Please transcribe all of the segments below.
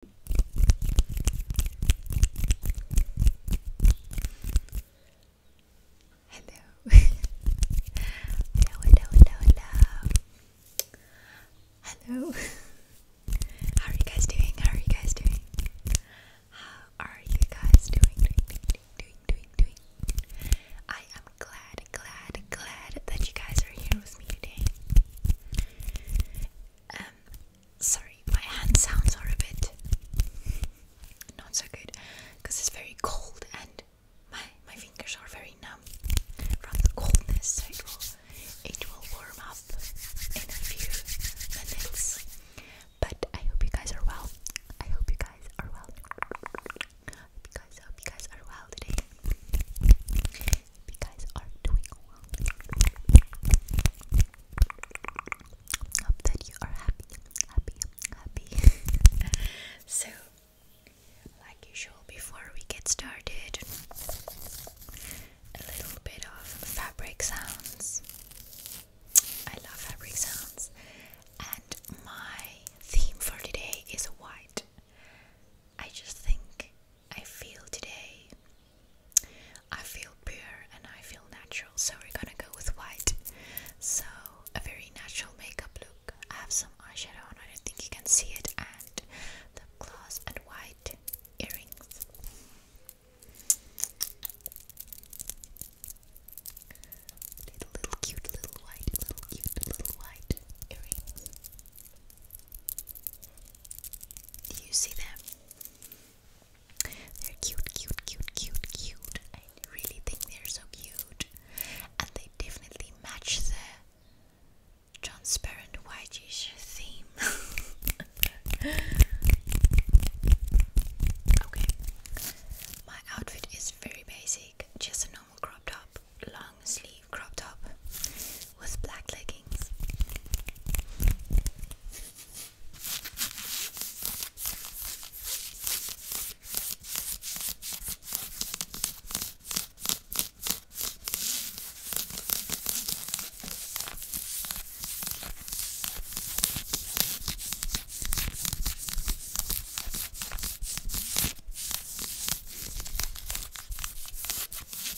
Hello. hello, hello, hello, hello. How are you guys doing? How are you guys doing? How are you guys doing. I am glad, glad, glad that you guys are here with me today. Um, Sorry, my hand sounds are a bit not so good because it's very cold and my my fingers are very numb from the coldness. So it will it will warm up in a few minutes. But I hope you guys are well. I hope you guys are well. hope you guys, I hope you guys are well today you guys are doing well. Hope that you are happy, happy, happy. so, like usual, before we get started, a little bit of fabric sounds. I love fabric sounds, and my theme for today is white. I just think I feel today. I feel pure and I feel natural, so we're gonna go with white. So, a very natural makeup look. I have some eyeshadow on, I don't think you can see it, and the gloss and white earrings. Little, little cute, little white, little cute, little white earrings. Do you see them? They're cute, cute, cute, cute, cute. I really think they're so cute. And they definitely match the transparent white whitish theme. okay. My outfit is very basic, just a normal crop top, long sleeve crop top with black leggings.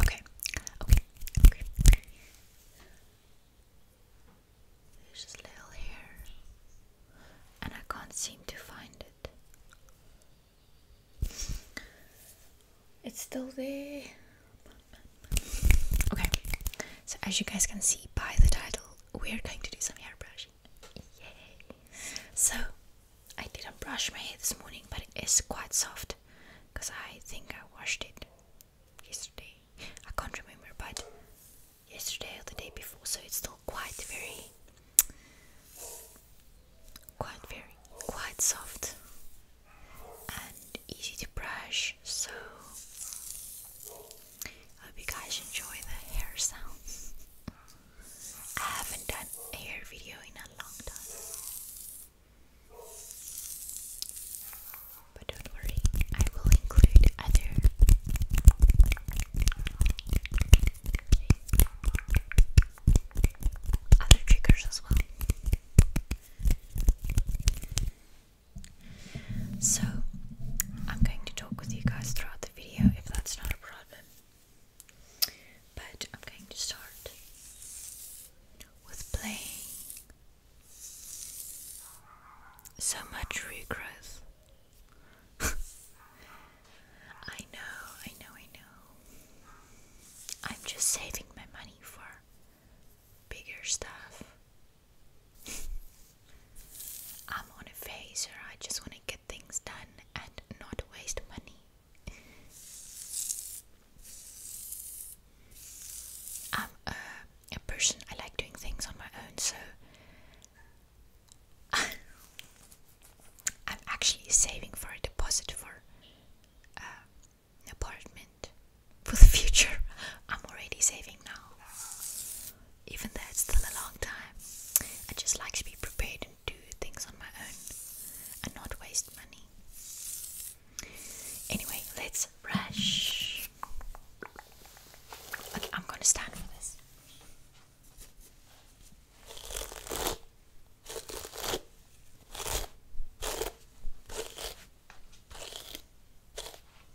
Okay, okay, okay. There's just little hair, and I can't seem to find it. It's still there. Okay, so as you guys can see by the title, we're going to do some hair brushing. Yay! So I didn't brush my hair this morning, but it is quite soft because I think I washed it yesterday. I can't remember, but yesterday or the day before, so it's still quite very, quite very, quite soft and easy to brush. So I hope you guys enjoy the hair sounds. I haven't done a hair video in a long time. But don't worry, I will include other other triggers as well. So, I'm going to talk with you guys throughout the video if that's not a problem. But I'm going to start with playing. So much regrowth. I know, I know, I know. I'm just saving my money for bigger stuff. I'm on a phase where I just want to get things done and not waste money. I'm uh, a, person, I like doing things on my own, so I'm actually saving for a deposit for uh, an apartment for the future. I'm already saving now, even though it's still a long time. I just like to be prepared and do things on my own and not waste money. Anyway, let's rush. I'm gonna stand for this.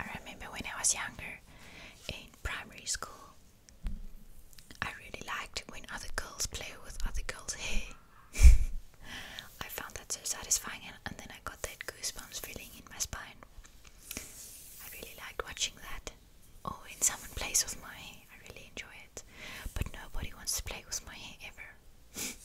I remember when I was younger, primary school. I really liked when other girls play with other girls' hair. I found that so satisfying, and, then I got that goosebumps feeling in my spine. I really liked watching that. Oh, in someone place with my hair. I really enjoy it. But nobody wants to play with my hair ever.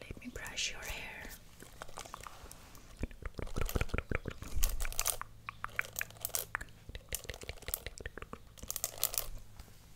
Let me brush your hair.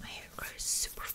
My hair grows super fast.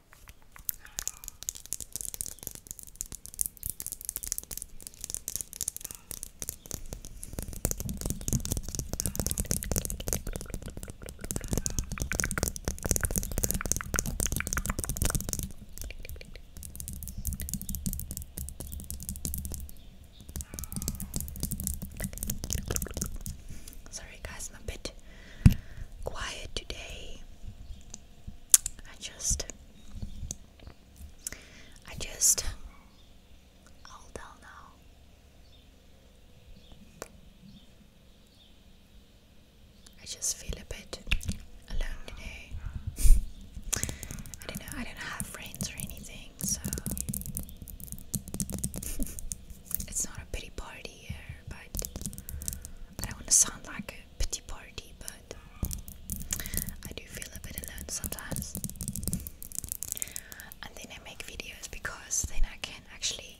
Sorry guys, I'm a bit quiet today. I just, I just, all down now. I just feel a bit alone today. I don't know, I don't have friends or anything, so it's not a pity party but I don't want to sound like a pity party, but I do feel a bit alone sometimes. And then I make videos because then I can actually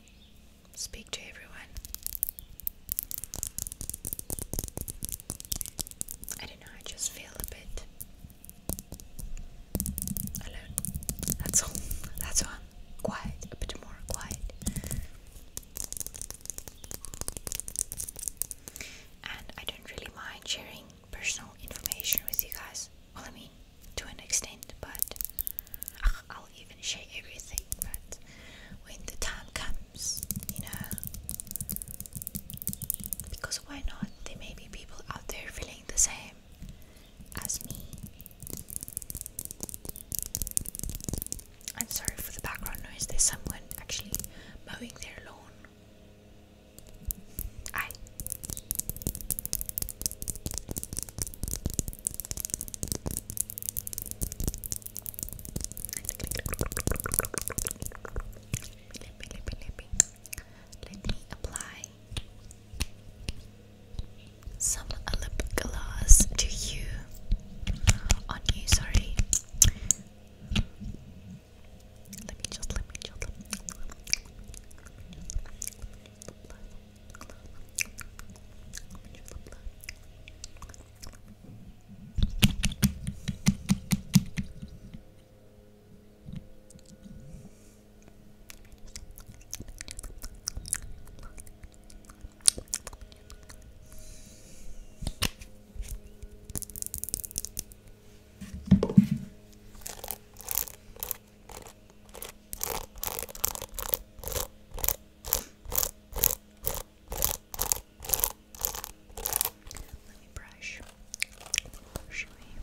speak to everyone. I don't know, I just feel a bit alone. That's all. That's all quiet, a bit more quiet. And I don't really mind sharing personal information with you guys. Well, I mean, to an extent, but I'll even share everything. But when the time comes, you know, because why not? There may be people out there feeling the same as me. I'm sorry for the background noise, there's someone actually mowing their lawn. Aye. Let me apply some lip gloss to you on you sorry let me just let me just let me brush. Show you.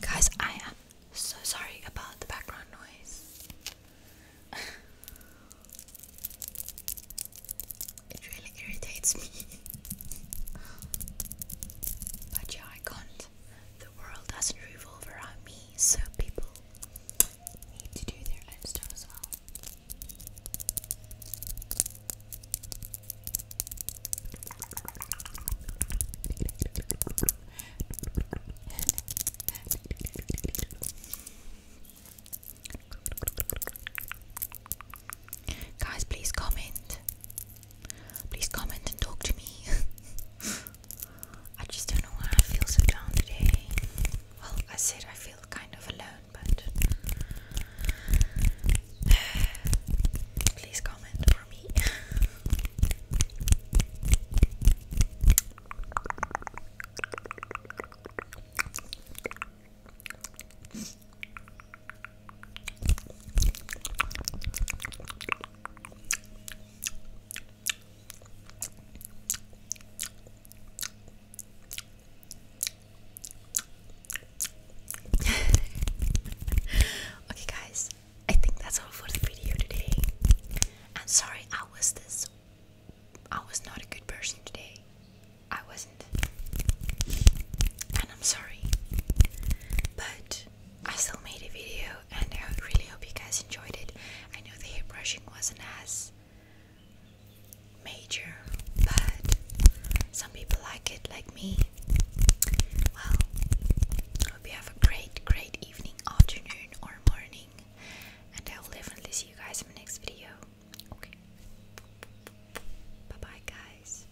Guys, I am so sorry about the background noise. it really irritates me. but yeah, I can't the world doesn't revolve around me, so people need to do their own stuff as well. Guys, please comment Please comment and talk to me. I just don't know why I feel so down today. Well, I said I feel kind of alone, but please comment for me. okay, guys, I think that's all for the video today. And sorry, I was this. I was not a good person today. I wasn't. And I'm sorry. But I still made a video and I really hope you guys enjoyed it. I know the hair brushing wasn't as major, but some people like it, like me. Well, hope you have a great, great evening, afternoon, or morning, and I will definitely see you guys in my next video. Okay, bye bye, guys.